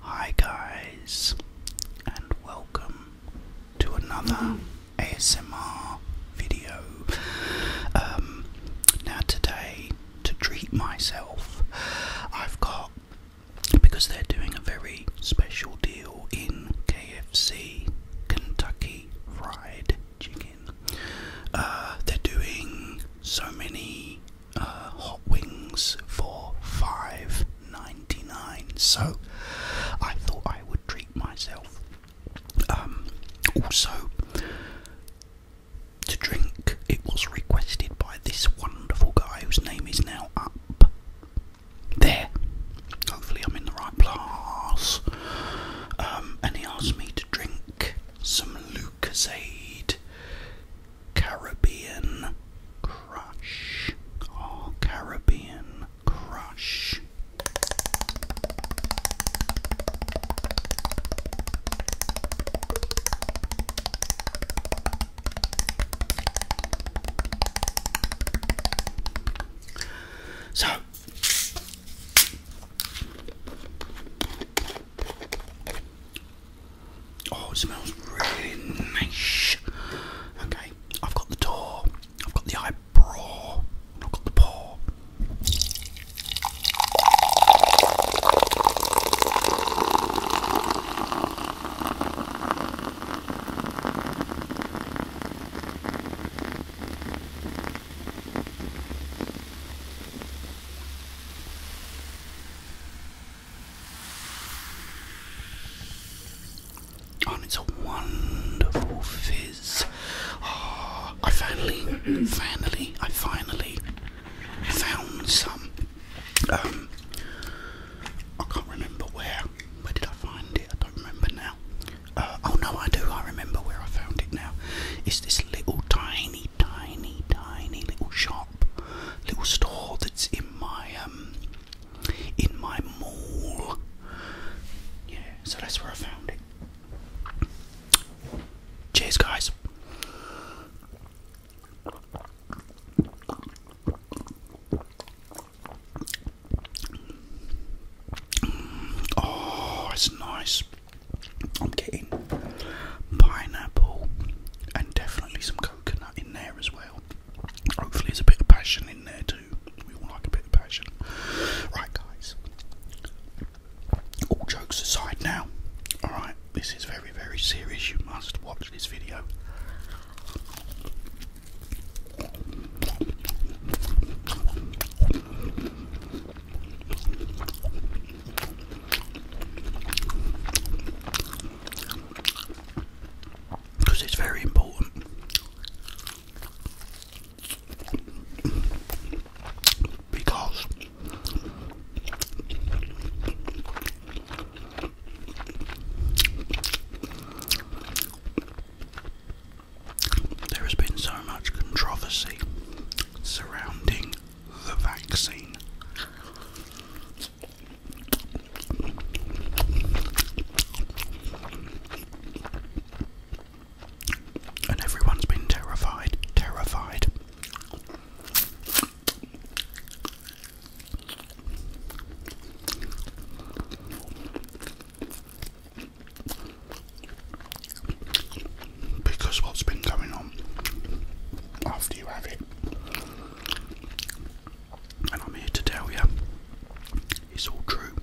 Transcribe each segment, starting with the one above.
Hi guys, and welcome to another ASMR video. Um, now today, to treat myself, I've got because they're doing a very special deal in KFC, Kentucky Fried Chicken. Uh, they're doing so many uh, hot wings for $5.99. So I thought I would treat myself. Um, also, to drink, it was requested by this wonderful guy whose name is now up there. Hopefully, I'm in the right place. Um, and he asked me to drink some Lucasade Caribbean Crush. Oh, Caribbean Crush. So Oh, it smells really nice. Okay, I've got the door, I've got the eyebrow, I've got the paw. Oh, and it's a wonderful fizz. Ah, I finally, finally, I finally found some. Um, I can't remember where. Where did I find it? I don't remember now. Uh, oh no, I do. I remember where I found it now. It's this little tiny tiny, tiny little shop, little store that's in my um, in my mall. Yeah, so that's where I found it. Cheers, guys. Oh, it's nice. I'm getting pineapple and definitely some coconut in there as well. Hopefully, there's a bit of passion in there too. We all like a bit of passion. Right, guys. All jokes aside now, alright, this is very, very serious. You must watch this video because it's very important. Because there has been so much controversy surrounding the vaccine. And everyone's been terrified, terrified. Because what's been going on after you have it and I'm here to tell you, it's all true.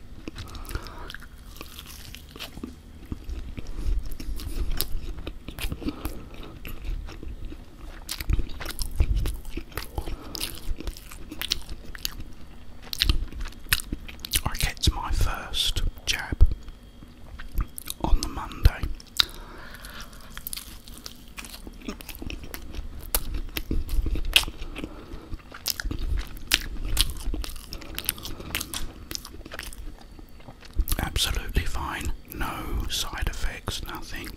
I get my first jab on the Monday Absolutely fine, no side effects, nothing.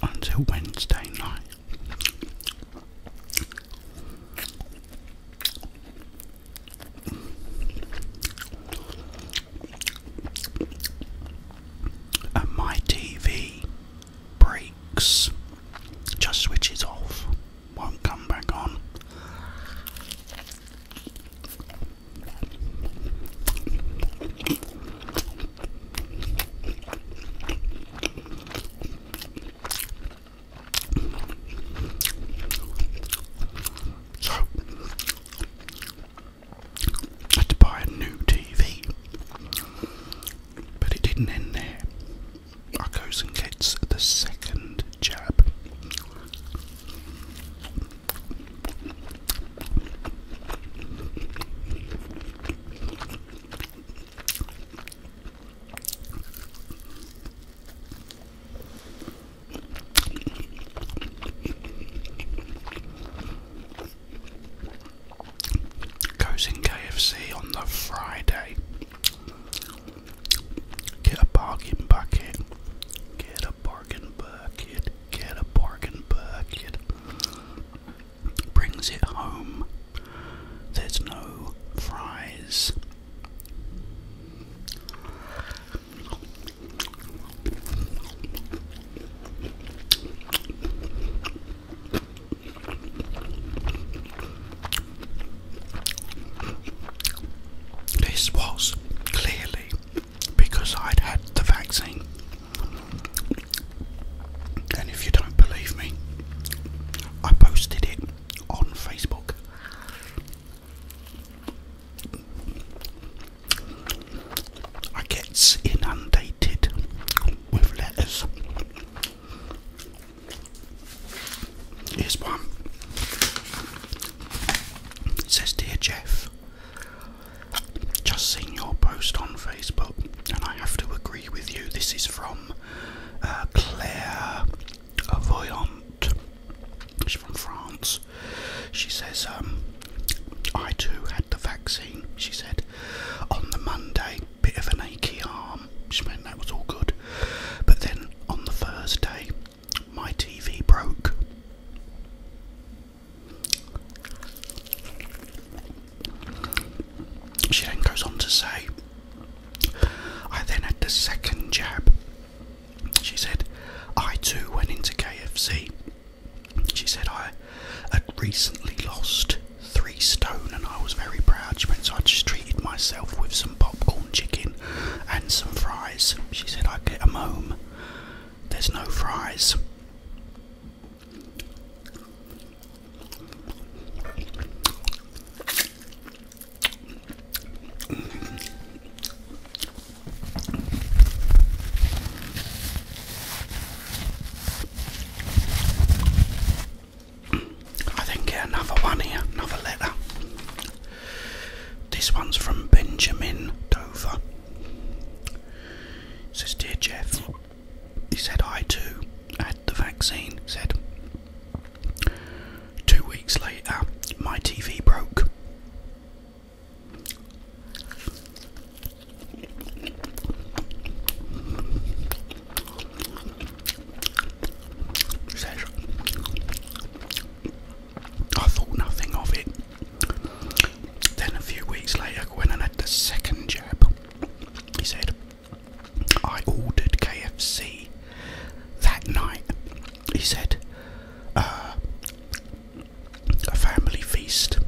Until Wednesday night. And my TV breaks, just switches off, won't come back on. So had to buy a new TV, but it didn't end there. I goes and gets the second jab. Goes in KFC on the Friday. Get a bargain bucket. Get a bargain bucket. Get a bargain bucket. Brings it home. There's no fries. This was clearly because I'd had the vaccine. And if you don't believe me, I posted it on Facebook. I get inundated with letters. Here's one. It says, Dear Jeff, just seen your post on Facebook, and I have to agree with you. This is from uh, Claire Voyant. She's from France. She says, um, I too had the vaccine, she said, on the Monday. Bit of an achy arm. She meant that was all good. But then on the Thursday, my TV broke. She then goes on to say, I then had the second jab. She said, I too went into KFC. She said, I had recently lost three stone and I was very proud. She went, so I just treated myself with some popcorn chicken and some fries. She said, I'd get them home. There's no fries. I think yeah, another one here, another letter. This one's from Benjamin Dover. It says, Dear Jeff, he said I too had the vaccine. Said Two weeks later, my TV broke. I thought nothing of it. Then a few weeks later, when I had the second jab, he said, I ordered KFC that night. He said, uh, a family feast.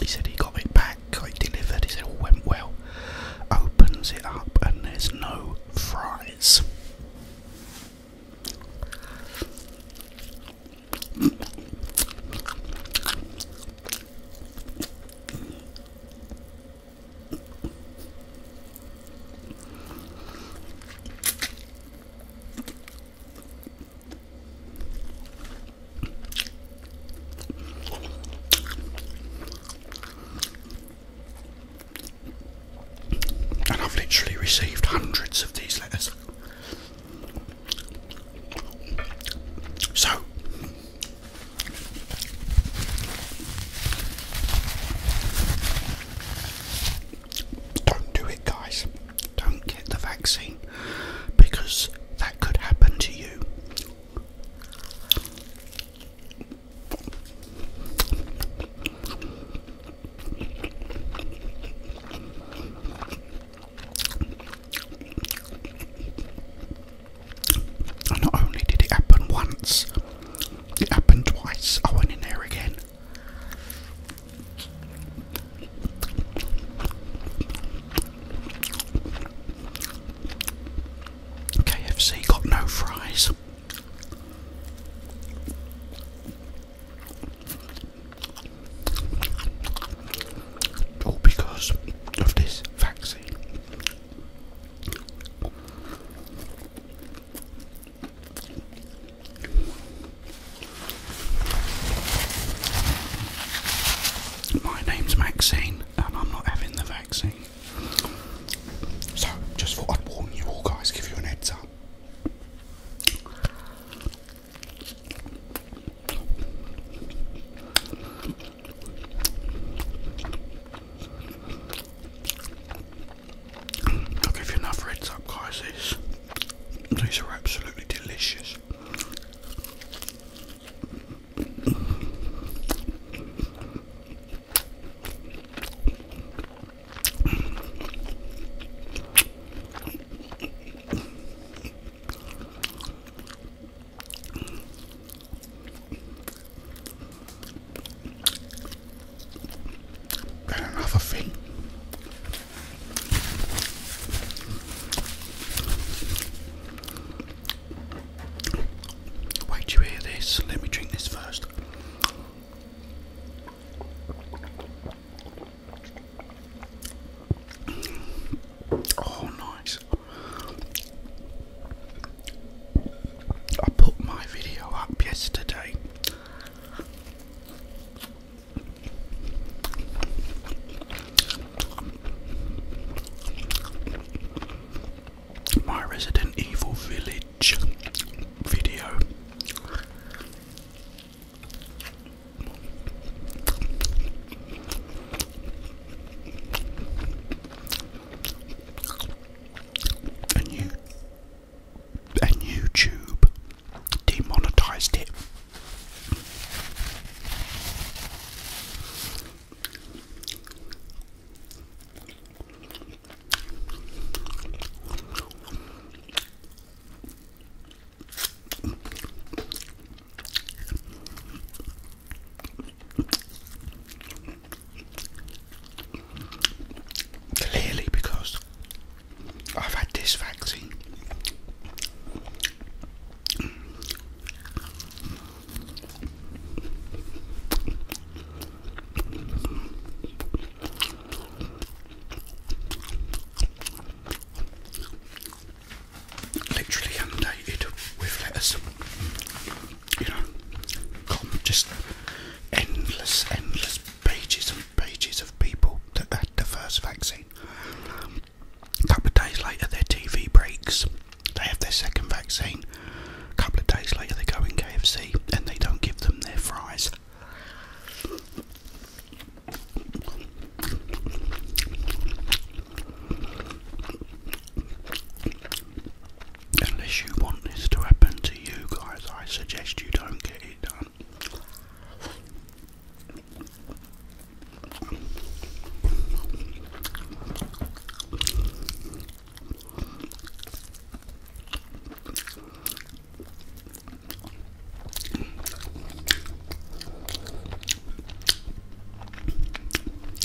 He said he got it back, I delivered, he said all went well. Opens it up and there's no fries. And I've literally received hundreds of these letters. So, don't do it, guys. Don't get the vaccine because that could happen to you. And not only did it happen once, it happened twice. I went in there again. KFC got no fries. All because of this vaccine. My name's Maxine, and I'm not having the vaccine. So, just thought I'd warn you all guys, give you an heads up. I'll give you another heads up guys, these, these are absolutely delicious another thing. Wait, you hear this? Let me drink this first. Oh, nice. I put my video up yesterday. My Resident Evil Village video and YouTube demonetized it. Clearly, because I've had this vaccine. Literally undated with lettuce you know, just endless, endless pages and pages of people that had the first vaccine. A couple of days later, their TV breaks. They have their second vaccine. A couple of days later, they go in KFC and they don't give them their fries. Unless you want this to happen to you guys, I suggest you don't get it done.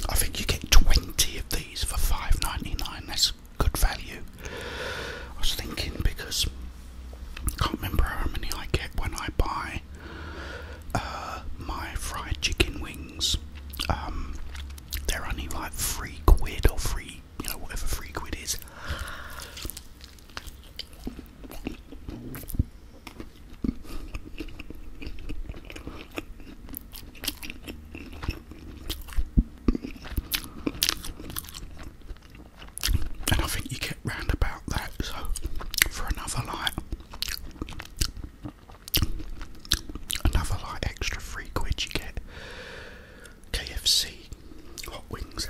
I think you get 20 of for five ninety nine, That's good value. I was thinking because I can't remember how many I get when I buy uh, my fried chicken wings. Um, they're only like three quid or three, you know, whatever three quid is. And I think you get round about that, so for another light, another light extra three quid you get KFC hot wings.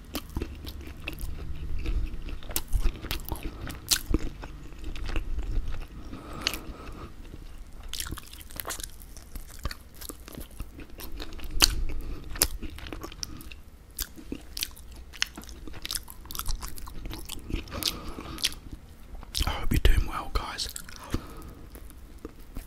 I hope you're doing well, guys.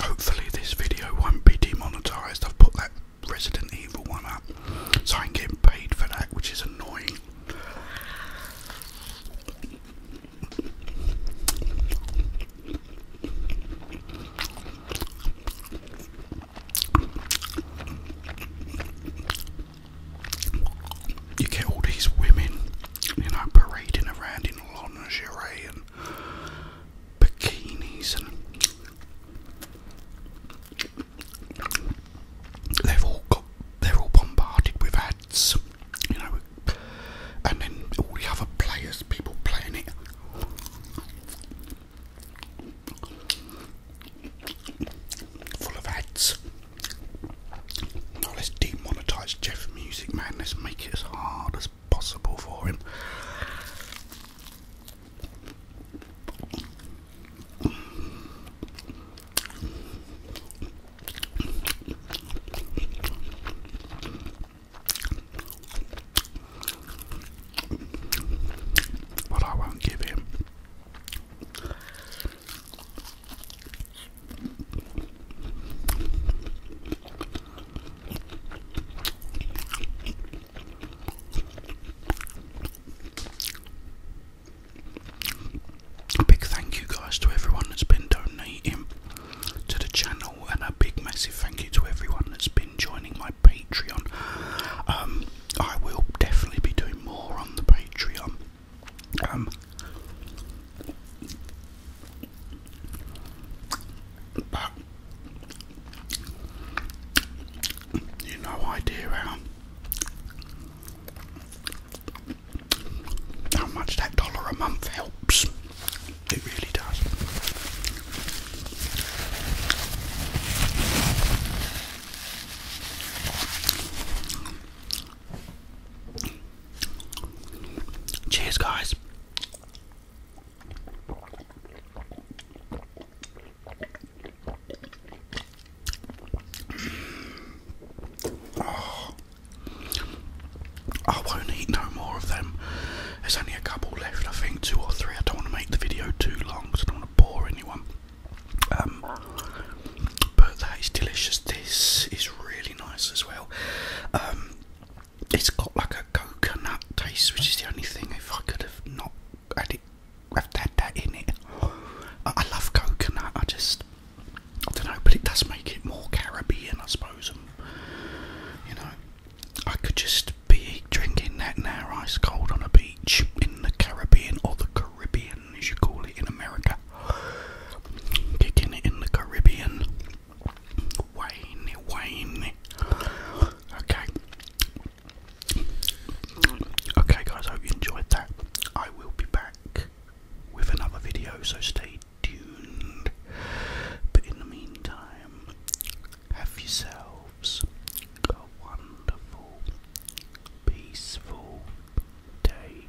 Hopefully this video won't be demonetized. I've put that Resident Evil one up, so i can get paid for that, which is annoying. You get all these women, you know, parading around in lingerie and bikinis and they've all got they're all bombarded with ads, you know, and then all the other players, people playing it. Full of ads. let's demonetize Jeff's music, man. Let's make it as hard as possible for him. But I won't give him. A big thank you, guys, to everyone that's been donating to the channel, and a big, massive thank you to everyone that's been joining my Patreon. Um, I will definitely be doing more on the Patreon. Um, but you no idea um, how much that dollar a month helps. It really does. Cheers, guys. Oh. I won't eat no more of them. There's only a couple left, I think, two or three. I don't want to make the video too long, so I don't want to bore anyone. Um, but that is delicious. This is really nice as well. Um, it's got like a coconut taste, which is the only thing if I could have not had it, have had that in it. I love coconut, I just, I don't know, but it does make it more Caribbean, I suppose. you know, I could just be drinking that now, ice cold on a beach in the Caribbean, or the Caribbean as you call it in America. Kicking it in the Caribbean Wayne, Wayne. Okay. Okay, guys, I hope you enjoyed that. I will be back with another video, so stay tuned. But in the meantime, have yourselves a wonderful, peaceful day.